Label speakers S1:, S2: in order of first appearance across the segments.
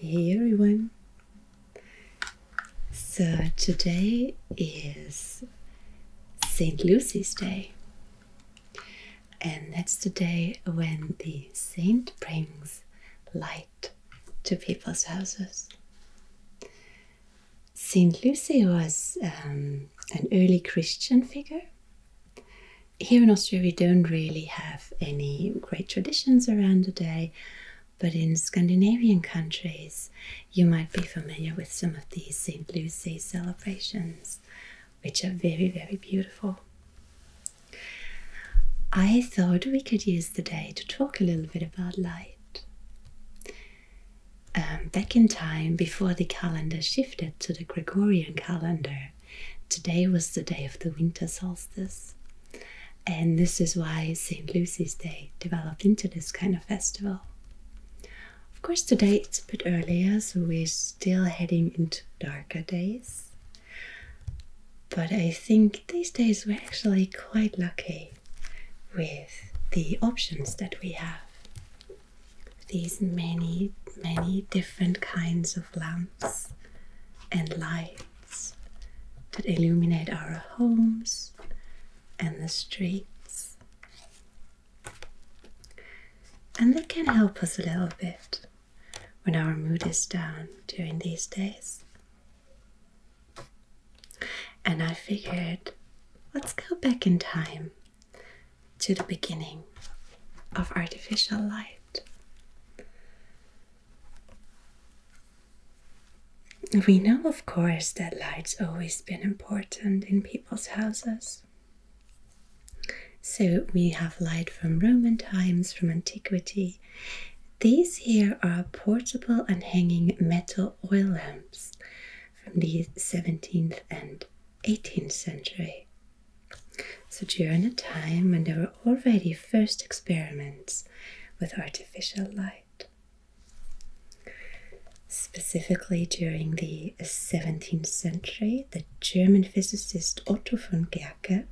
S1: Hey everyone! So today is St. Lucy's Day, and that's the day when the saint brings light to people's houses. St. Lucy was um, an early Christian figure here in Austria, we don't really have any great traditions around the day, but in Scandinavian countries, you might be familiar with some of these St. Lucy celebrations, which are very, very beautiful. I thought we could use the day to talk a little bit about light. Um, back in time before the calendar shifted to the Gregorian calendar, today was the day of the winter solstice. And this is why St. Lucy's Day developed into this kind of festival. Of course, today it's a bit earlier, so we're still heading into darker days. But I think these days we're actually quite lucky with the options that we have these many, many different kinds of lamps and lights that illuminate our homes and the streets. And they can help us a little bit when our mood is down during these days. And I figured, let's go back in time to the beginning of artificial light. We know, of course, that light's always been important in people's houses. So we have light from Roman times, from antiquity. These here are portable and hanging metal oil lamps from the 17th and 18th century. So, during a time when there were already first experiments with artificial light, specifically during the 17th century, the German physicist Otto von Guercke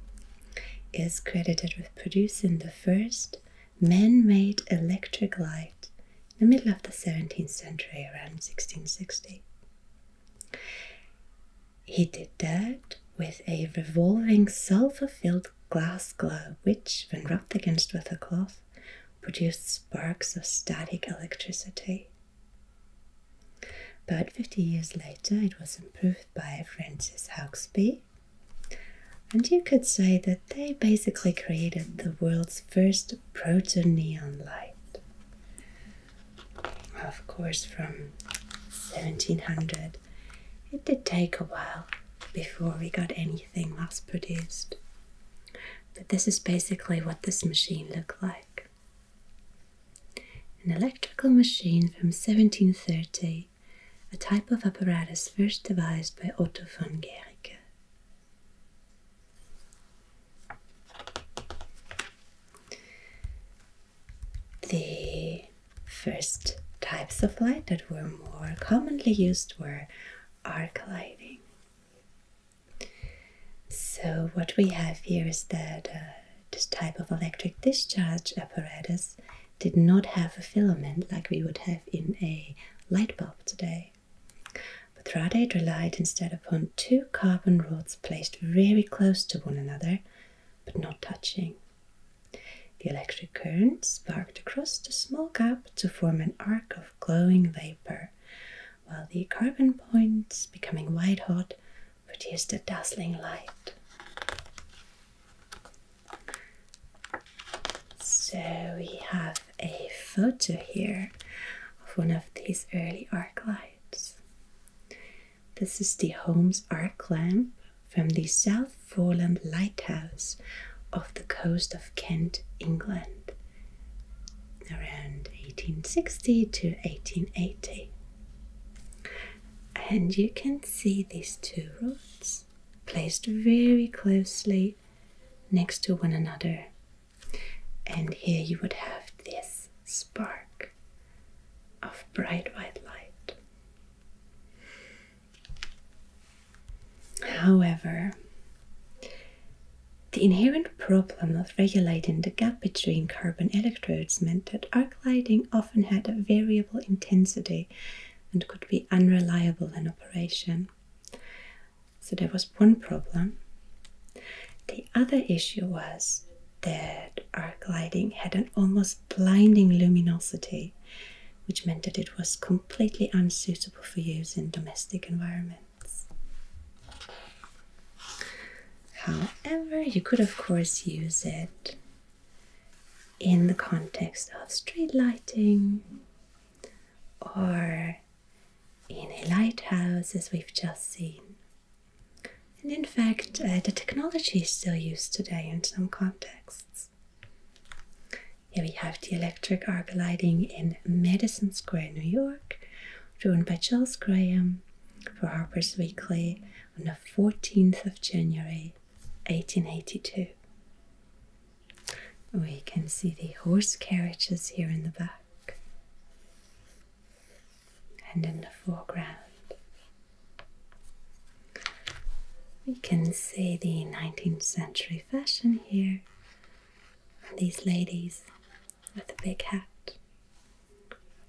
S1: is credited with producing the first man made electric light the middle of the 17th century, around 1660. He did that with a revolving sulfur filled glass globe, which, when rubbed against with a cloth, produced sparks of static electricity. About 50 years later, it was improved by Francis Hauksbee, and you could say that they basically created the world's first just proto-neon light. Of course, from 1700, it did take a while before we got anything mass-produced. But this is basically what this machine looked like. An electrical machine from 1730, a type of apparatus first devised by Otto von Guericke. The first types of light that were more commonly used were arc lighting. So, what we have here is that uh, this type of electric discharge apparatus did not have a filament like we would have in a light bulb today. But Rade relied instead upon two carbon rods placed very close to one another but not touching. The electric current sparked across the small gap to form an arc of glowing vapor, while the carbon points, becoming white hot, produced a dazzling light. So we have a photo here of one of these early arc lights. This is the Holmes arc lamp from the South Foreland Lighthouse off the coast of Kent, England, around 1860 to 1880. And you can see these two rods placed very closely next to one another and here you would have this spark of bright white light. However, the inherent problem of regulating the gap between carbon electrodes meant that arc lighting often had a variable intensity and could be unreliable in operation. So there was one problem. The other issue was that our gliding had an almost blinding luminosity, which meant that it was completely unsuitable for use in domestic environments. However, you could of course use it in the context of street lighting or in a lighthouse as we've just seen. And in fact, uh, the technology is still used today in some contexts. Here we have the electric arc lighting in Madison Square, New York, drawn by Charles Graham for Harper's Weekly on the 14th of January 1882. We can see the horse carriages here in the back. And in the foreground, we can see the 19th century fashion here. These ladies with a big hat,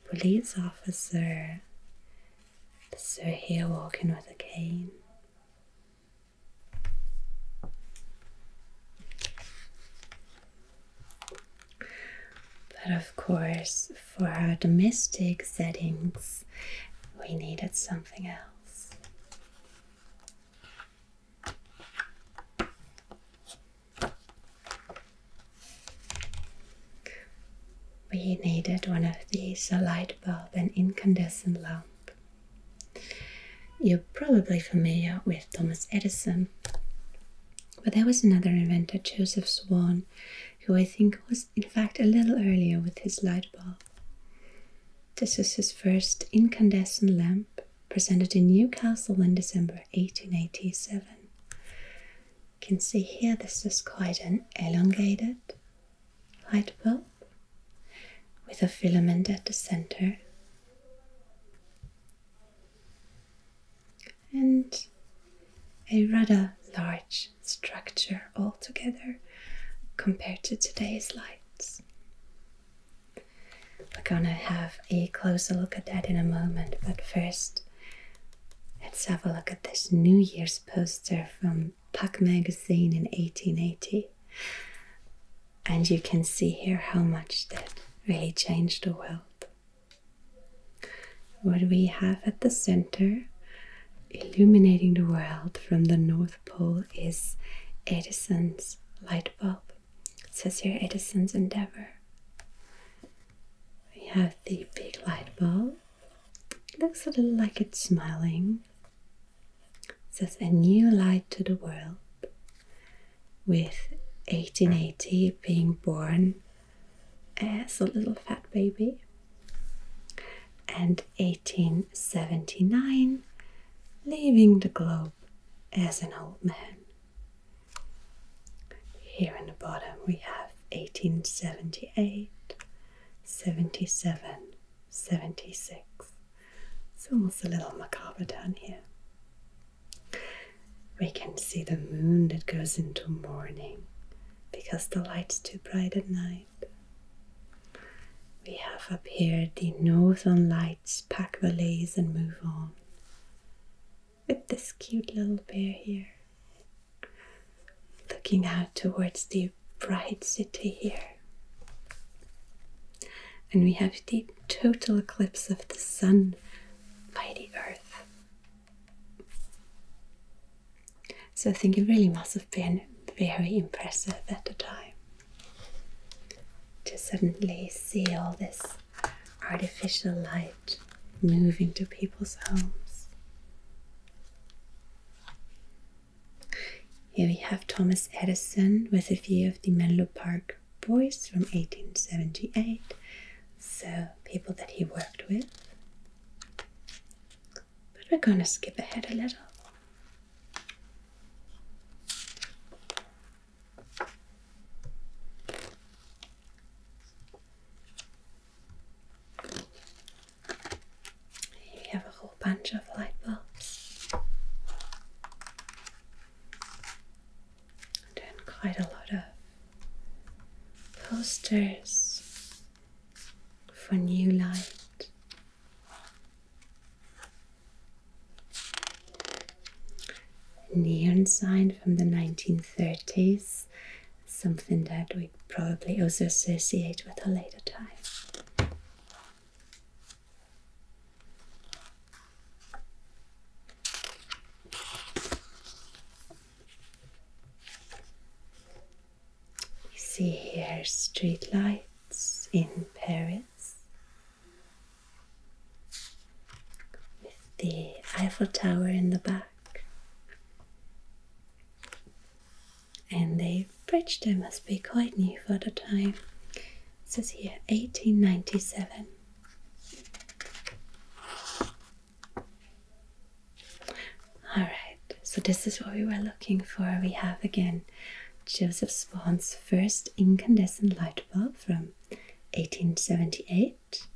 S1: police officer, the sir here walking with a cane, but of course, for our domestic settings, we needed something else. We needed one of these, a light bulb, an incandescent lamp. You're probably familiar with Thomas Edison, but there was another inventor, Joseph Swan, who I think was in fact a little earlier with his light bulb. This is his first incandescent lamp, presented in Newcastle in December 1887. You can see here this is quite an elongated light bulb with a filament at the center and a rather large structure altogether compared to today's lights. We're gonna have a closer look at that in a moment, but first, let's have a look at this New Year's poster from Puck magazine in 1880. And you can see here how much that really changed the world. What we have at the center, illuminating the world from the North Pole, is Edison's light bulb. It says here Edison's endeavor. We have the big light bulb. It looks a little like it's smiling. It says a new light to the world with 1880 being born as a little fat baby and 1879 leaving the globe as an old man. Here in the bottom we have 1878, 77, 76. It's almost a little macabre down here. We can see the moon that goes into morning because the light's too bright at night. We have up here the northern lights pack the lays and move on. With this cute little bear here. Looking out towards the bright city here. And we have the total eclipse of the sun by the earth. So I think it really must have been very impressive at the time to suddenly see all this artificial light moving to people's homes. Here we have Thomas Edison with a view of the Menlo Park Boys from 1878, so people that he worked with. But we're going to skip ahead a little. we have a whole bunch of light bulbs i quite a lot of posters for new light. Neon sign from the 1930s, something that we probably also associate with a later time. You see here street lights in Paris with the Eiffel Tower in the back, and the bridge there must be quite new for the time. It says here 1897. Alright, so this is what we were looking for. We have again Joseph Swan's first incandescent light bulb from 1878.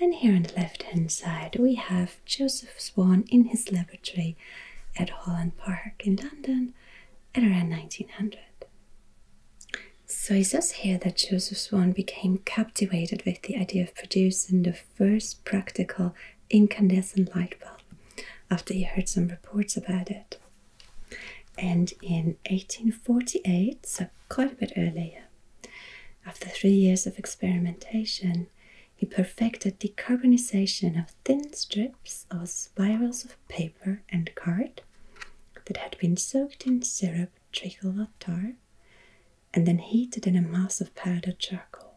S1: And here on the left hand side, we have Joseph Swan in his laboratory at Holland Park in London at around 1900. So it says here that Joseph Swan became captivated with the idea of producing the first practical incandescent light bulb after he heard some reports about it. And in 1848, so quite a bit earlier, after three years of experimentation, he perfected the decarbonization of thin strips or spirals of paper and card that had been soaked in syrup tricolored tar and then heated in a mass of powdered charcoal.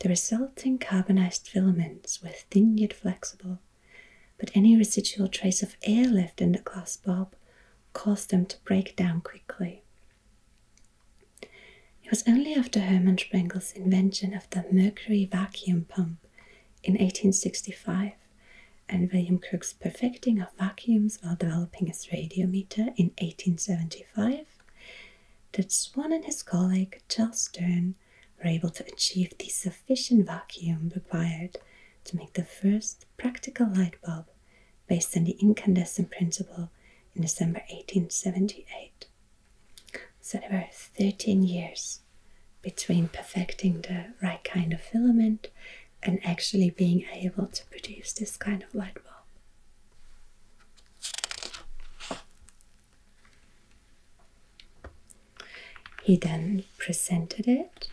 S1: The resulting carbonized filaments were thin yet flexible, but any residual trace of air left in the glass bulb caused them to break down quickly. It was only after Hermann Spengel's invention of the mercury vacuum pump in 1865 and William Crookes' perfecting of vacuums while developing his radiometer in 1875, that Swan and his colleague Charles Stern were able to achieve the sufficient vacuum required to make the first practical light bulb based on the incandescent principle in December 1878. So there were 13 years between perfecting the right kind of filament and actually being able to produce this kind of light bulb. He then presented it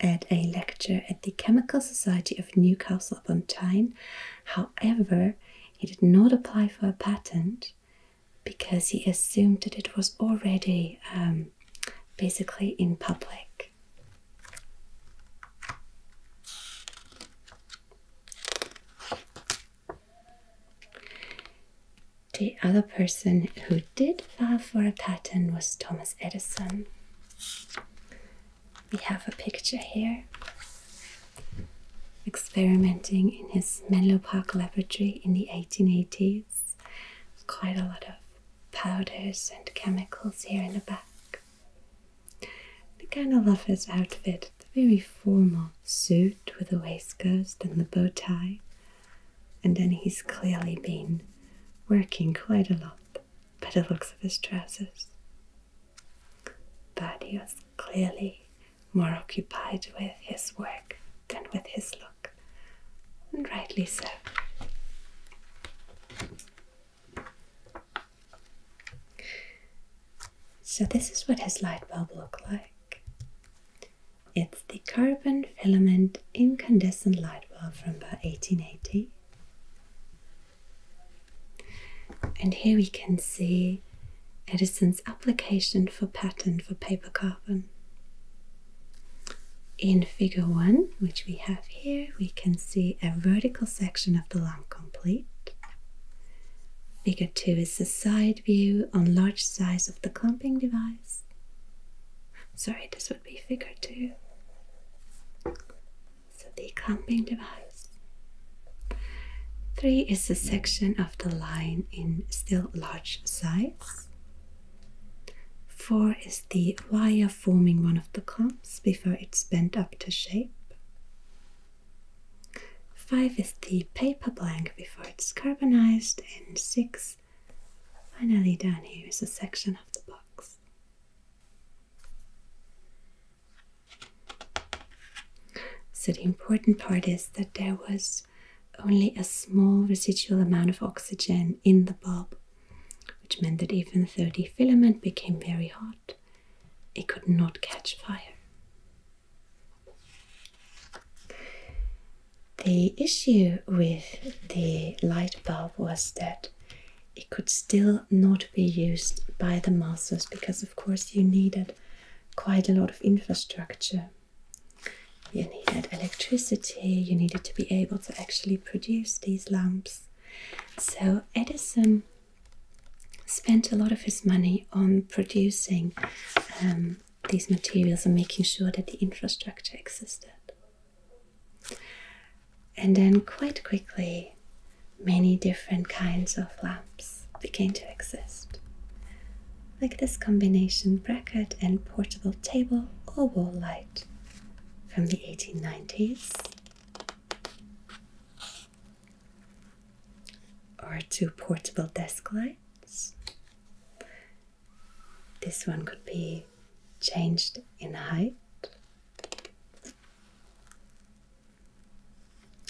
S1: at a lecture at the Chemical Society of Newcastle upon Tyne. However, he did not apply for a patent because he assumed that it was already um, basically in public. The other person who did file for a patent was Thomas Edison. We have a picture here experimenting in his Menlo Park laboratory in the 1880s. Quite a lot of powders and chemicals here in the back. The kind of love his outfit the very formal suit with the waistcoat and the bow tie. And then he's clearly been working quite a lot by the looks of his trousers. But he was clearly more occupied with his work than with his look, and rightly so. So, this is what his light bulb looked like. It's the carbon filament incandescent light bulb from about 1880. And here we can see Edison's application for patent for paper carbon. In figure 1, which we have here, we can see a vertical section of the lamp complete. Figure 2 is a side view on large size of the clamping device. Sorry, this would be figure 2. So the clamping device. Three is a section of the line in still large size. Four is the wire forming one of the clumps before it's bent up to shape. Five is the paper blank before it's carbonized, and six, finally down here, is a section of the box. So the important part is that there was only a small residual amount of oxygen in the bulb, which meant that even though the filament became very hot, it could not catch fire. The issue with the light bulb was that it could still not be used by the masses because, of course, you needed quite a lot of infrastructure. You needed electricity, you needed to be able to actually produce these lamps. So Edison spent a lot of his money on producing um, these materials and making sure that the infrastructure existed. And then, quite quickly, many different kinds of lamps began to exist, like this combination bracket and portable table or wall light from the 1890s, or two portable desk lights. This one could be changed in height.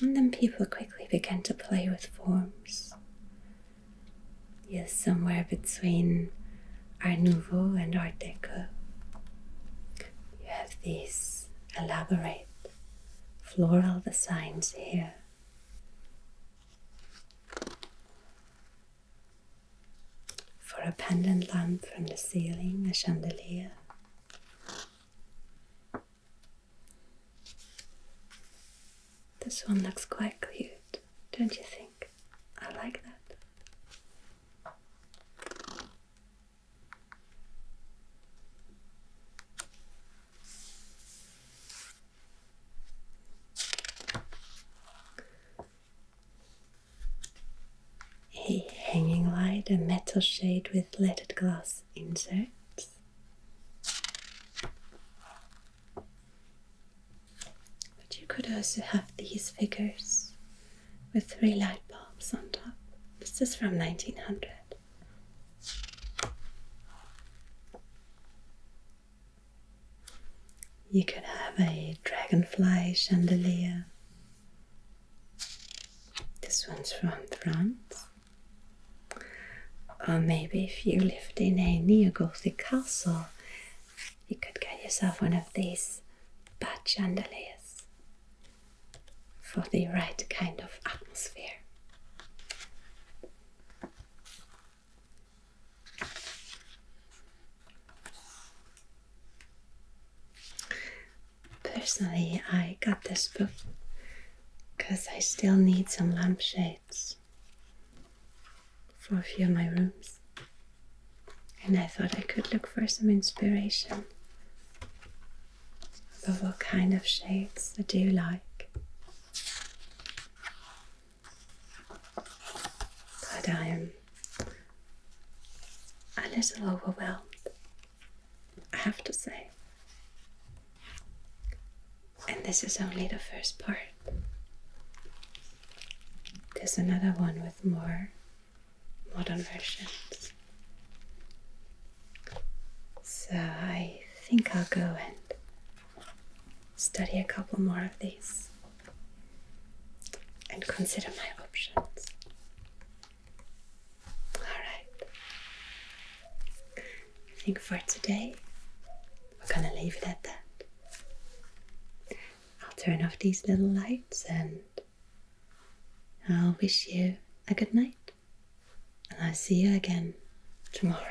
S1: And then people quickly began to play with forms. Yes, somewhere between Art Nouveau and Art Deco. You have these elaborate floral designs here. For a pendant lamp from the ceiling, a chandelier. This one looks quite cute, don't you think? I like that. A hanging light, a metal shade with leaded glass inserts. But you could also have these figures with three light bulbs on top. This is from 1900. You could have a dragonfly chandelier. This one's from France. Or maybe if you lived in a neo-Gothic castle, you could get yourself one of these bad chandeliers for the right kind of atmosphere. Personally, I got this book because I still need some lampshades for a few of my rooms. And I thought I could look for some inspiration about what kind of shades I do like. But I am a little overwhelmed I have to say. And this is only the first part. There's another one with more modern versions. So I think I'll go and study a couple more of these and consider my options. Alright. I think for today we're gonna leave it at that. I'll turn off these little lights and I'll wish you a good night. And I'll see you again tomorrow.